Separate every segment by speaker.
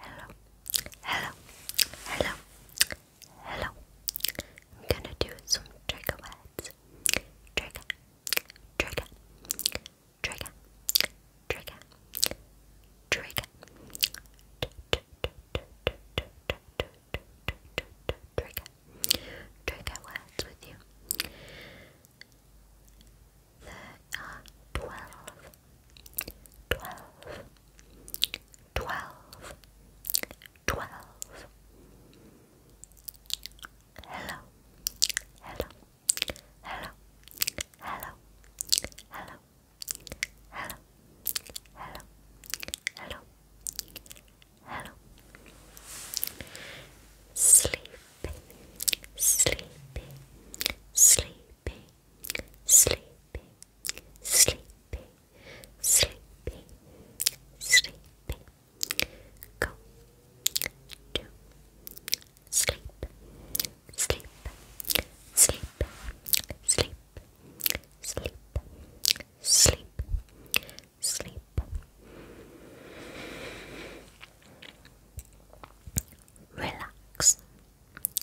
Speaker 1: Hello, hello, hello, hello. I'm gonna do some trigger words. Trigger, trigger, trigger, trigger, trigger, trigger, trigger words with you. There are twelve twelve, twelve, twelve. Hello, hello, hello, hello, hello, hello, hello, hello, hello. Sleepy, sleepy, sleepy sleepy, sleepy, sleepy, sleepy, sleepy. Go to sleep, sleep, sleep, sleep, sleep, sleep, sleep. Relax,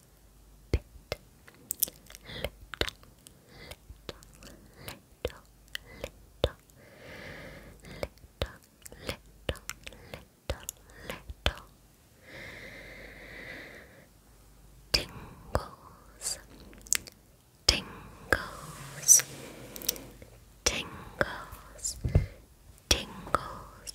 Speaker 1: bit, little, little, little, little, little, little, little, little tingles, tingles, tingles, tingles,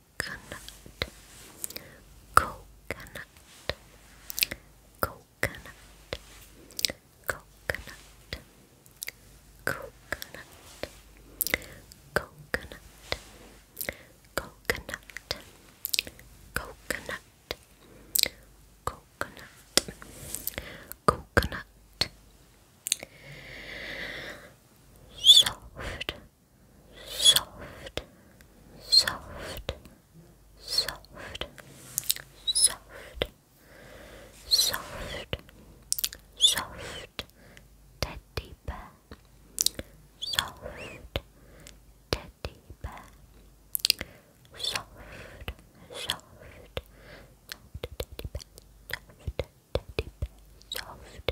Speaker 1: coconut, coconut, coconut, coconut, coconut, coconut, coconut, coconut. Coconut, coconut, soft, soft, soft, soft, soft, soft, soft, teddy bear, soft, teddy bear, soft, soft, soft, teddy bear, soft, teddy bear, soft,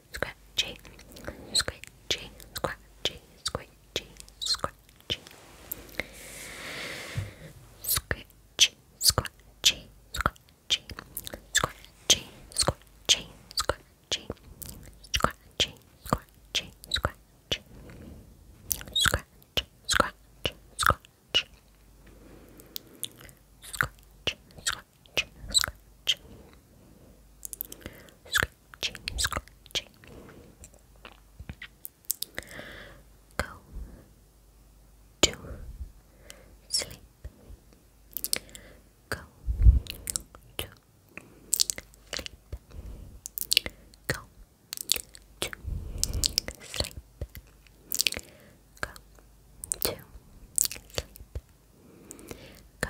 Speaker 1: scratchy, scratchy, scratchy, scratchy, scratchy, scratchy, scratchy, scratchy, scratchy, scratchy, scratchy, scratchy, scratchy, scratch, scratch, scratch, scratch, scratch, scratch, scratch, scratch, scratching, scratching. Go to sleep. Go to sleep. Go to sleep. Go to sleep. Go to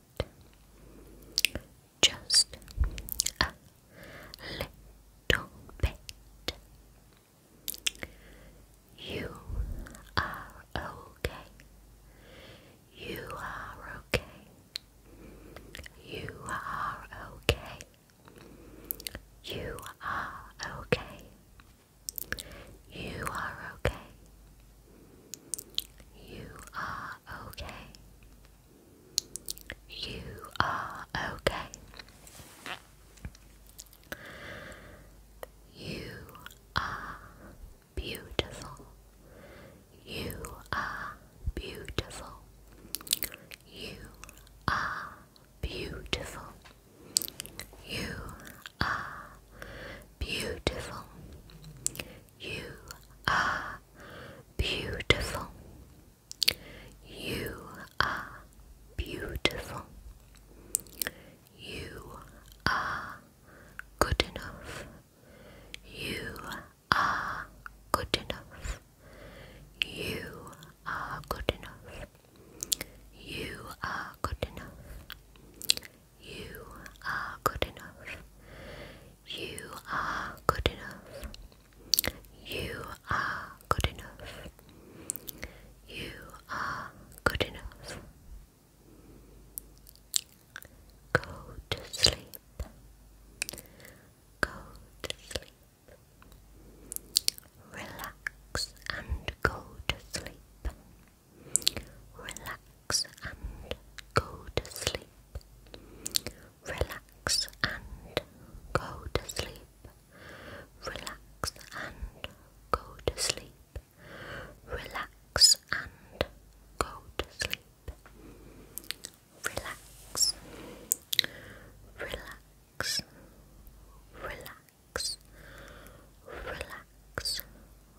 Speaker 1: just a little bit. You are okay. You are okay. You are okay. You are okay. You are okay. You are okay. You are okay. You are okay. You are beautiful. You are beautiful. You are beautiful. You are beautiful. You are beautiful. You are beautiful. You are good enough. You are good enough. You are good enough. You are good enough. You are good enough. You are good enough. You are good enough. You are good enough. Go to sleep. Go to sleep. Relax and go to sleep. Relax and go to sleep. Relax and go to sleep. Relax and go to sleep. Relax and go to sleep. Relax. Relax. Relax. Relax. Relax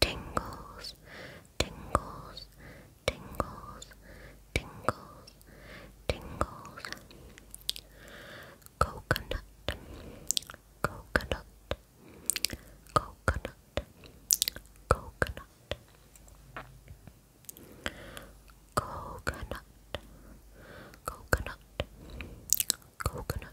Speaker 1: tingles, tingles, tingles, tingles, tingles. Coconut, coconut, coconut, coconut. Coconut, coconut, coconut, coconut,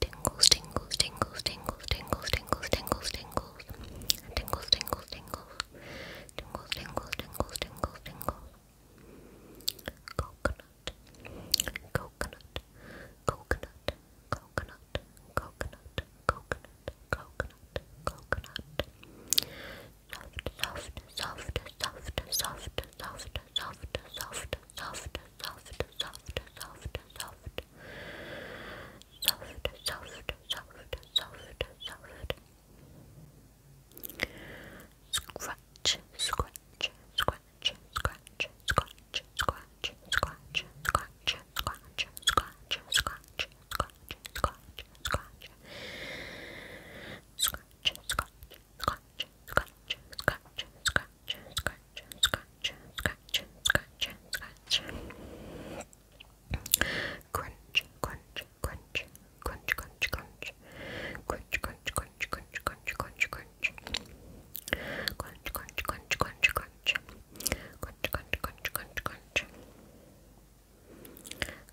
Speaker 1: Tingles, tingles, tingles, tingles, tingles, tingles, tingles, tingles, tingles, tingles, tingles, tingles, tingles, tingles, tingles, tingles. Coconut, coconut, coconut, coconut, coconut, coconut, coconut, coconut. Soft, soft, soft, soft, soft, soft, soft, soft, soft, soft, soft, soft, soft, soft, soft, soft, soft, soft. Scratch, scratch, scratch, scratch, scratch, scratch, scratch, scratch, scratch, scratch, scratch, scratch, scratch, scratch, scratch, scratch, scratch, scratch, scratch, scratch, scratch, scratch, scratch, scratch, scratch. Crunch, crunch, crunch, crunch, crunch, crunch. Crunch, crunch, crunch, crunch, crunch, crunch, crunch. Crunch, crunch, crunch, crunch, crunch. Crunch, crunch, crunch, crunch, crunch.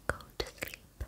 Speaker 1: Go to sleep.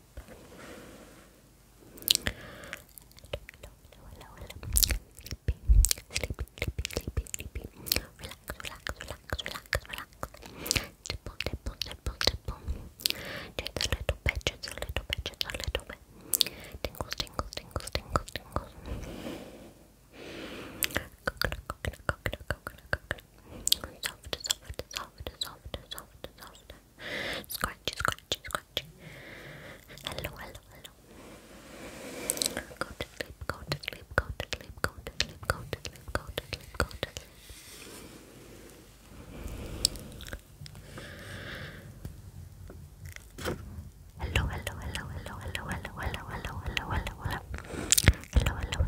Speaker 1: hello, hello, sleepy, sleepy, sleepy, sleepy, relax, relax, relax, relax, relax, tipple, tipple, tipple, tipple, just a little bit, just a little bit, just a little bit, tingles, tingles, tingles, tingles, tingles, coconut, coconut, coconut, coconut, coconut, soft, soft, soft, soft, soft, soft, scratchy, scratchy, scratchy. Hello, hello, hello. Go to sleep, go to sleep, go to sleep, go to sleep, go to sleep, go to sleep, go to sleep. Hello, hello, hello, hello, hello, hello, hello, hello, hello, hello, hello, hello, hello,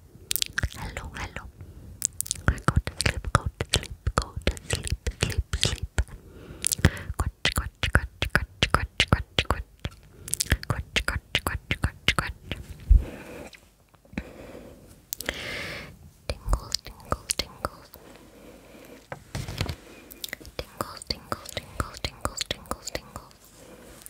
Speaker 1: Hello, hello. Go to sleep, go to sleep, go to sleep, sleep, sleep. Crunch, crunch, crunch, crunch, crunch, crunch, crunch, crunch, crunch, crunch, crunch. Tingles, tingles, tingles. Tingles, tingles, tingles, tingles, tingles, tingles.